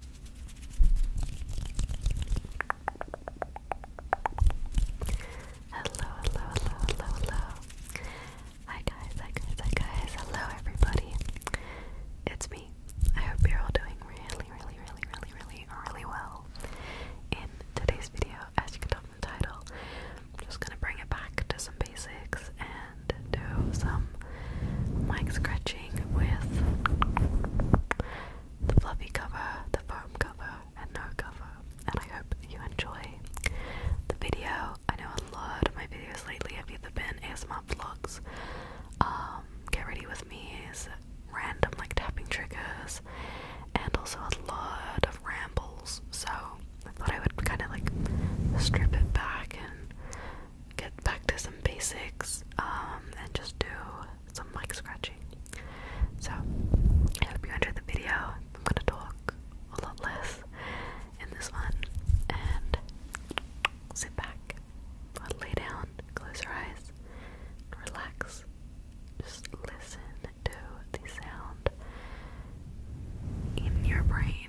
Hello, hello, hello, hello, hello. Hi guys, hi guys, hi guys. Hello everybody. It's me. I hope you're all doing really, really, really, really, really, really well. In today's video, as you can tell from the title, I'm just gonna bring it back to some basics and do some some um, mic scratching with the fluffy cover, the foam cover, and no cover. And I hope you enjoy the video. I know a lot of my videos lately have either been ASMR vlogs, um, get ready with me's, random like tapping triggers, and also a lot of rambles. So I thought I would kind of like strip it back and get back to some basics um, and just do some mic scratching. So, I hope you enjoyed the video. I'm gonna talk a lot less in this one and sit back, lay down, close your eyes, relax, just listen to the sound in your brain.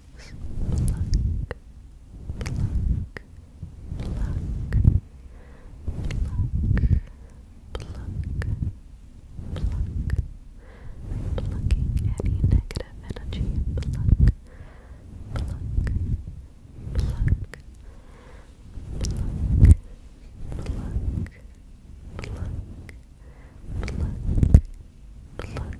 pluck, pluck, pluck, pluck, pluck, pluck, plucking any negative energy, pluck, pluck, pluck, pluck, pluck, pluck, pluck, pluck.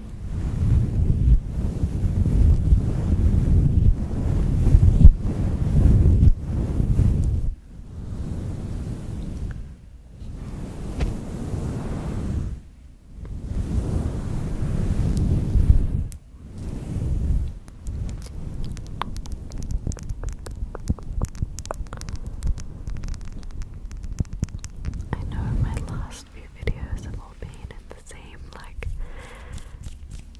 I know my last last videos have all been in the same like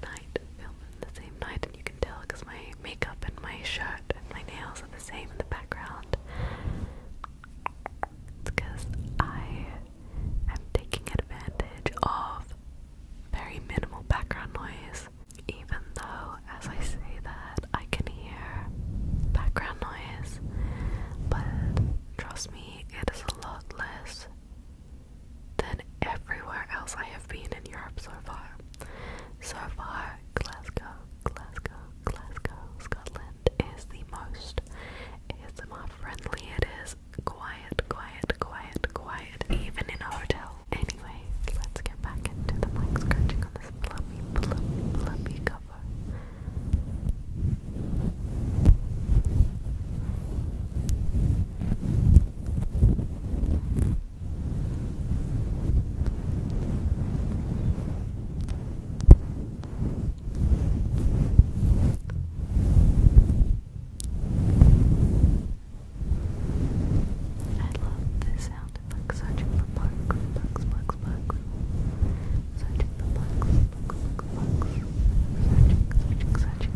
night, filmed the same night, and you can tell because my makeup and my shirt and my nails are the same in the background. Because I am taking advantage of very minimal background noise, even though as I say that I can hear background noise, but Trust me, it is a lot less than everywhere else I have been in Europe so far. So far, Glasgow, Glasgow, Glasgow, Scotland is the most It's ASMR friendly. It is quiet, quiet, quiet, quiet, even in a hotel. Anyway, let's get back into the mic scratching on this fluffy, fluffy, fluffy coat cover. I love this sound. It bugs, bugs, bugs, bugs. Searching the box, box, box, box. Searching, searching, searching.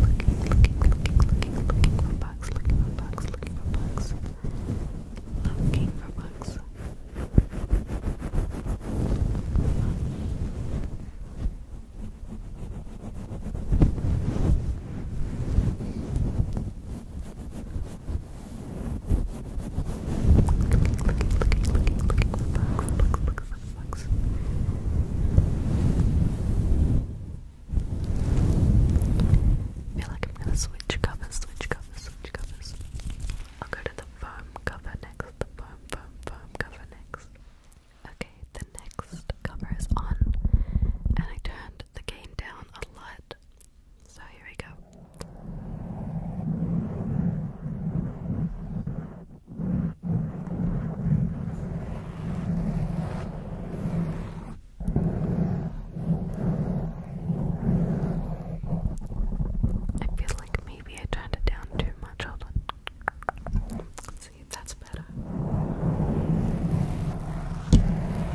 Looking, looking, looking, looking, looking for box. Looking, looking, looking, looking, looking for box. Looking for box, looking for box. Looking for box. Looking for box. I feel like I'm gonna switch covers, switch covers, switch covers. I'll go to the foam cover next, the foam, foam, foam cover next. Okay, the next cover is on, and I turned the gain down a lot so here we go. I feel like maybe I turned it down too much. Hold on. see that's better.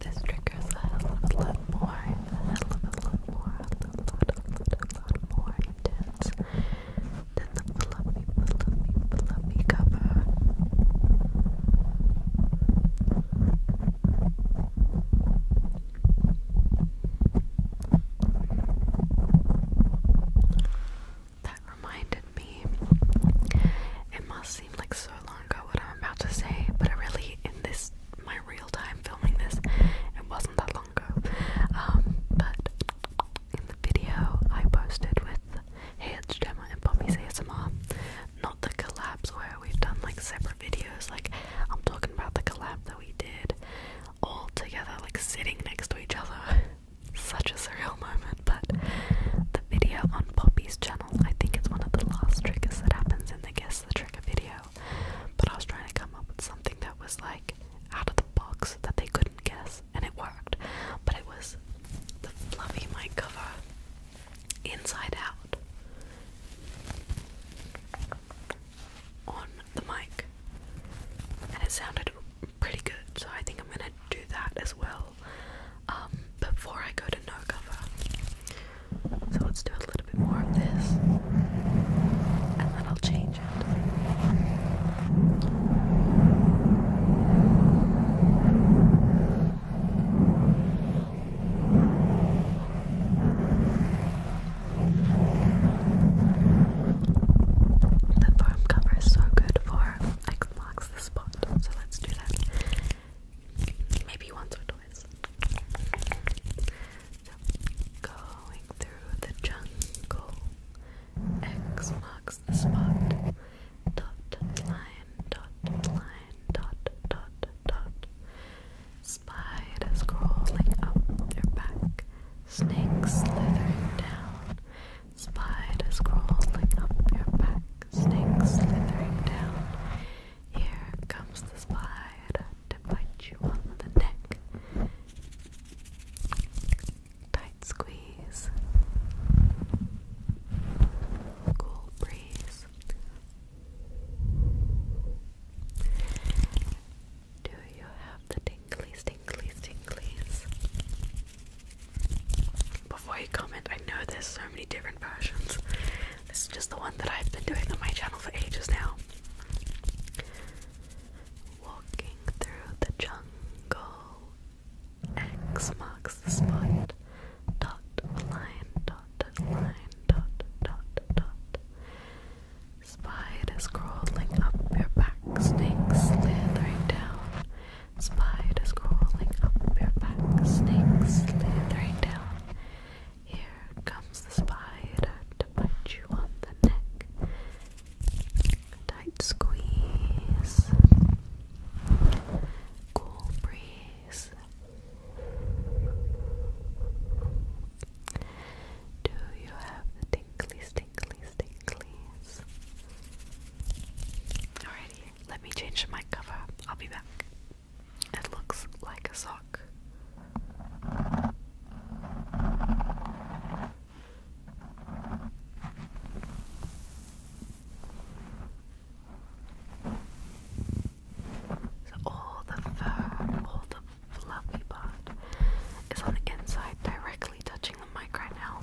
This triggers a hell of a lot more, a hell of a lot more, a lot, a lot, a lot, a lot more intense that reminded me, it must seem like so long ago what I'm about to say, but I really, in this, my real time filming this, it wasn't that long ago. Um, but in the video I posted with Hey It's Gemma and Poppy's ASMR. Not the collabs where we've done like separate videos, like I'm talking about the collab that we did all together, like sitting next to each other. Such a surreal moment, but the video on Poppy's channel, I think it's one of the last triggers that happens in the Guess the Trigger video. But I was trying to come up with something that was like out of the box that they couldn't guess and it worked. But it was the fluffy mic cover inside out on the mic. And it sounded pretty good, so I think I'm gonna do that as well um, before I go to no cover. So let's do a little bit more of this, and then I'll change it. The foam cover is so good for like the spot, so let's do that. Maybe once or twice. going through the jungle, X marks the spot dot line dot line dot dot dot spiders crawling up your back snakes slithering down spiders crawling up your back snakes slithering down here comes the spider to bite you on the neck Tight squeeze. Cool breeze. Do you have the tinklies, tinklies, tinklies? Before you comment, I know there's so many different versions. This is just the one that I've been doing on my channel for ages now. Walking through the jungle X marks the spot. Dot line dot line dot dot dot. Spiders crawling up your back, snakes slithering down. Spiders crawling up your back, snakes slithering down. Here comes the spider to bite you on the neck. Tight squeeze. Cool breeze. Do you have the tinklies, tinklies, Alrighty, let me change my cover. I'll be back. It looks like a sock all the fur, all the fluffy part is on the inside, directly touching the mic right now.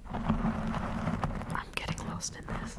I'm getting lost in this.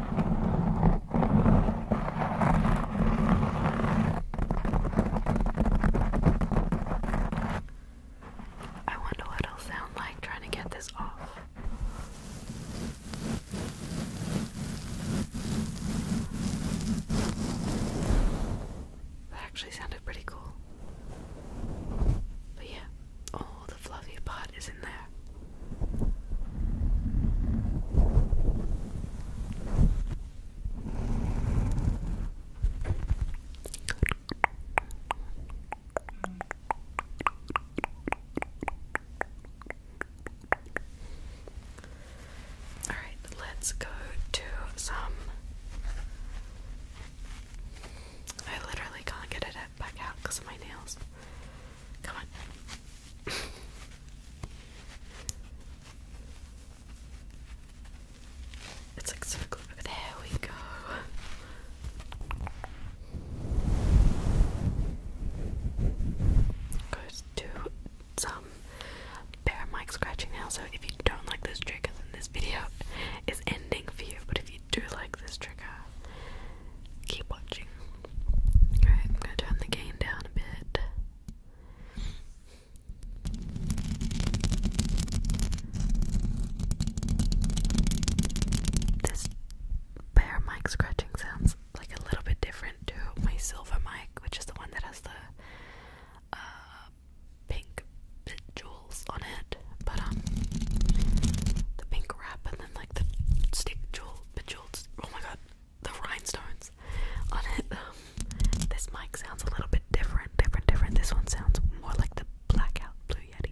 I wonder what it'll sound like trying to get this off. That actually sounded pretty cool. But yeah, all the fluffy part is in there. All right, let's go to some. I literally can't get it back out because of my nails. Come on. It's like so cool. There we go. Goes to some bare mic scratching now. So if you don't like this trigger, then this video is ending for you. But if you do like this trigger, keep watching. Alright, I'm gonna turn the gain down a bit. This bare mic scratching sounds like a little bit different to my silver mic, which is the one that has the uh, pink jewels on it but um, the pink wrap and then like the stick jewel, bejeweled. Oh my god, the rhinestones on it. Um, this mic sounds a little bit different, different, different. This one sounds more like the blackout blue yeti.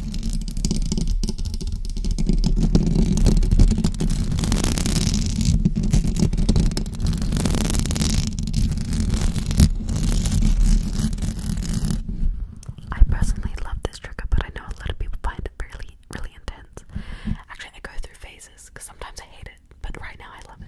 I personally love this trigger, but I know a lot of people find it really, really intense. Actually, I go through phases because sometimes I hate it, but right now I love it.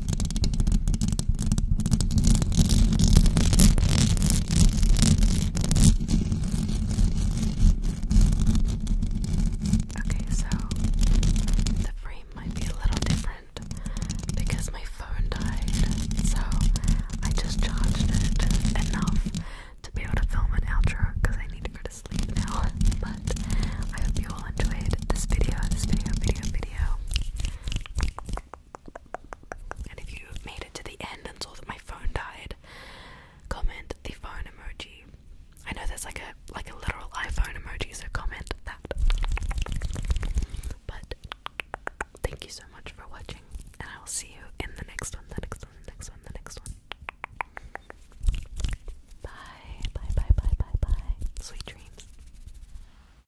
Okay, so the frame might be a little different because my phone died, so I just charged it enough to be able to film an outro because I need to go to sleep now. But I hope you all enjoyed this video, this video, video, video. And if you made it to the end and saw that my phone died, comment the phone emoji. I know there's like a like a literal iPhone emoji, so comment that. But thank you so much for watching, and I will see you in the next one, the next one, the next one, the next one. Bye, bye, bye, bye, bye, bye. Sweet dreams.